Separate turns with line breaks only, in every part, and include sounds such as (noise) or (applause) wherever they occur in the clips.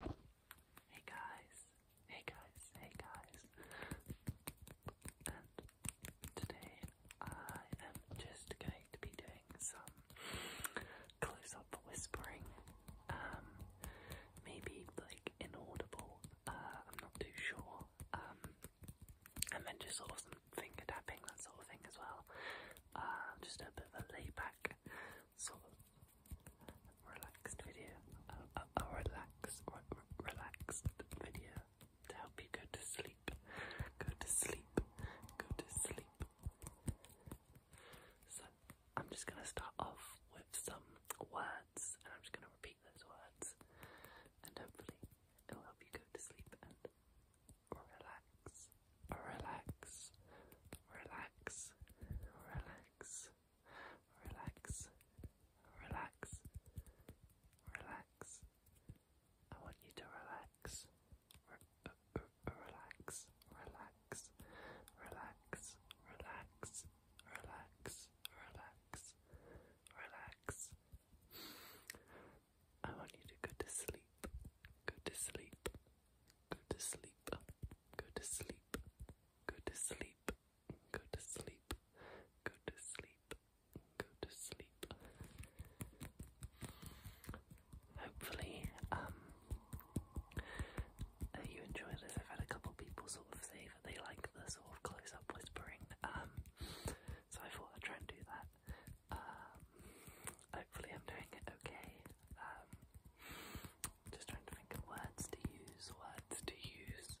Hey guys, hey guys, hey guys. And today I am just going to be doing some close up whispering. Um maybe like inaudible. Uh, I'm not too sure. Um and then just sort of some finger tapping, that sort of thing as well. Uh just a bit of a layback sort relaxed video, a, relaxed, relaxed video to help you go to sleep, go to sleep, go to sleep. So I'm just gonna start off with some words, and I'm just gonna repeat those words, and hopefully it'll help you go to sleep and relax, relax, relax, relax relax, relax, relax, relax. I want you to relax, relax, relax, relax, relax, relax, relax, relax. I want you to go to sleep, go to sleep, go to sleep go to sleep, go to sleep, go to sleep, go to sleep, go to sleep. Hopefully, um, you enjoy this. I've had a couple people sort of say that they like the sort of close-up whispering, um, so I thought I'd try and do that. Um, hopefully I'm doing it okay. Um, just trying to think of words to use, words to use.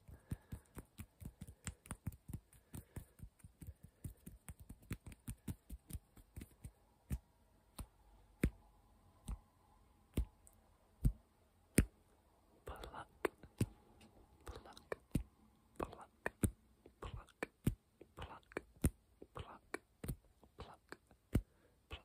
Pluck, pluck, pluck, pluck, pluck, pluck, pluck, pluck.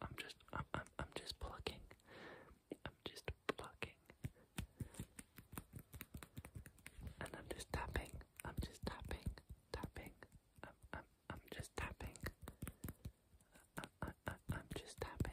I'm just, I'm, I'm, I'm just plucking. I'm just plucking. And I'm just tapping. I'm just tapping, tapping. I'm, I'm, I'm just tapping. I, I, I, I'm just tapping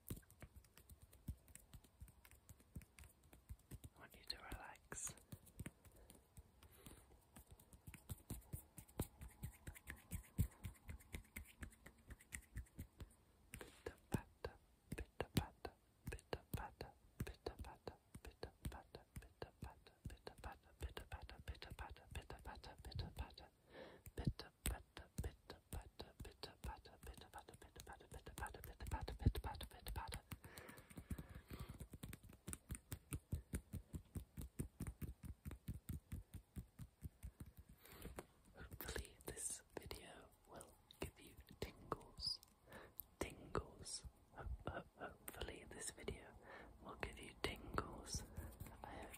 I want you to relax. Pitta patta, pitta patta, pitta patta, pitta patta, pitta patta, pitta patta, pitta patta, pitta patta, pitta patta, pitta patta, pitta patta, pitta patta, pitter patter, pitter patter, pitter patter, pitter patter, pitter patter, pitter patter, pitter patter, pitter patter. Hopefully, this video will give you tingles, tingles. Ho ho hopefully, this video will give you tingles. I hope.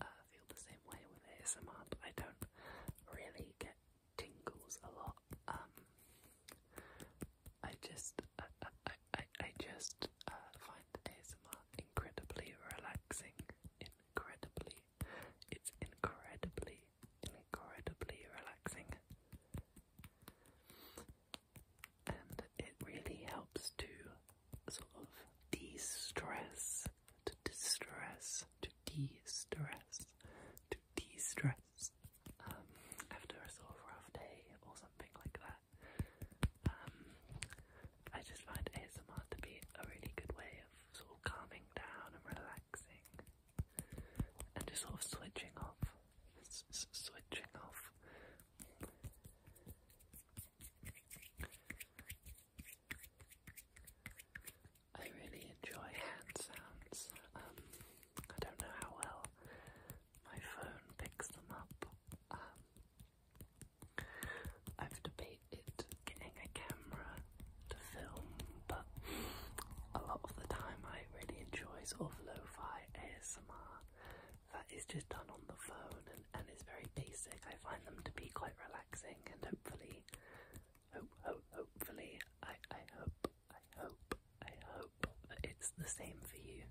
uh, feel the same way with ASMR, but I don't really get tingles a lot. Um, I just, I, I just uh, find ASMR incredibly relaxing. Incredibly, it's incredibly, incredibly relaxing, and it really helps to sort of de-stress, to distress, to de-stress, to de-stress um, after a sort of rough day or something like that. Um, I just find ASMR to be a really good way of sort of calming down and relaxing and just sort of switching off, switching off. I really enjoy hand sounds. Um, I don't know how well my phone picks them up. Um, I've debated getting a camera to film, but a lot of the time I really enjoy sort of lo-fi ASMR that is just done on the phone and, and is very basic. I find them to be quite relaxing and hopefully, hope, hope, hopefully, I, I hope, I hope, I hope it's the same for you.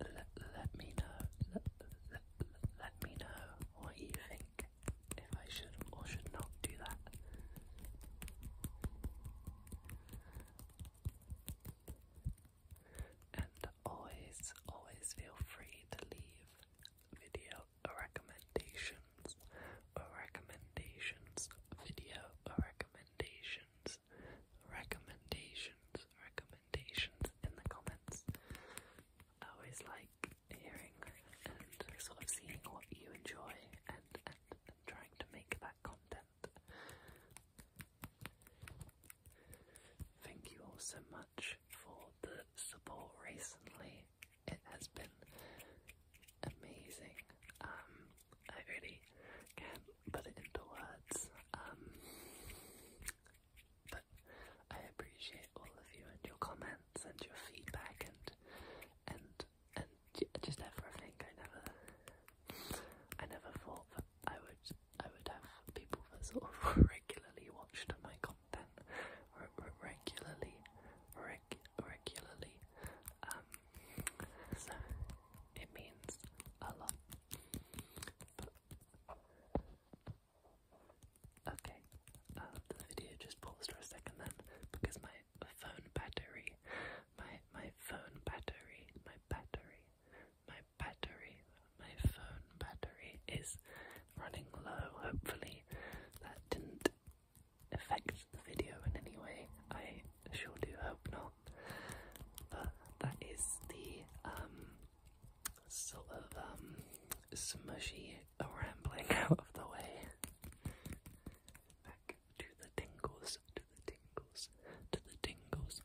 Let, let, me know, let, let me know what you think, if I should or should not do that. And always, always feel free to leave video recommendations or recommendations, video recommendations, recommendations, recommendations in the comments. always like hearing and sort of seeing what you enjoy and trying to make that content Thank you all so much for the support recently. It has been amazing. Um, I really can't put it into words. Um, but I appreciate all of you and your comments and your feedback and and and just everything. I never, I never thought that I would, I would have people that sort of (laughs) regularly watched my content, re regularly, reg regularly. Um, so it means a lot. Okay, uh, the video just paused for a second then because my my phone battery, my my phone battery, my battery, my battery, my phone battery is running low. Hopefully, that didn't affect the video in any way. I sure do hope not. But that is the um sort of um smushy rambling (laughs) out of the way. Back to the tingles, to the tingles, to the tingles.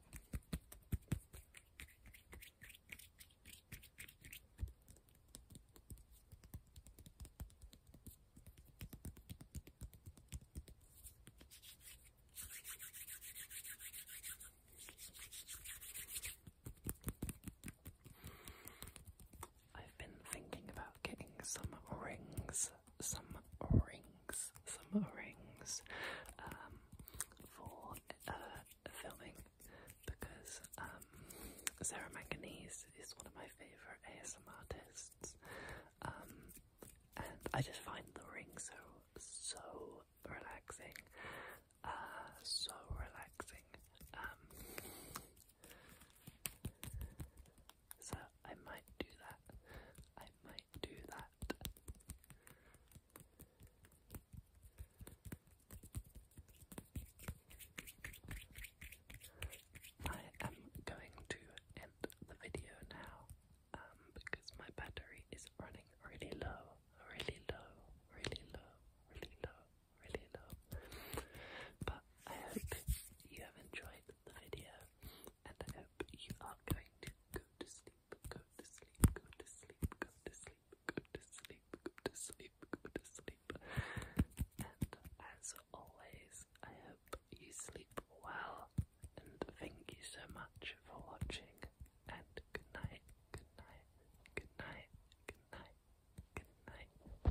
I've been thinking about getting some rings, some rings, some rings um, for uh, filming because um, Sarah Manganese is one of my favourite ASM artists um, and I just find the rings so, so relaxing, uh, so relaxing. Um, so I might do that. I might do that. I am going to end the video now um, because my battery is running really low, really low, really low, really low really love. But I hope you have enjoyed the video, and I hope you are going to go to sleep, go to sleep, go to sleep, go to sleep, go to sleep, go to sleep, go to sleep. And as always, I hope you sleep well, and thank you so much for watching. And good night, good night, good night, good night, good night.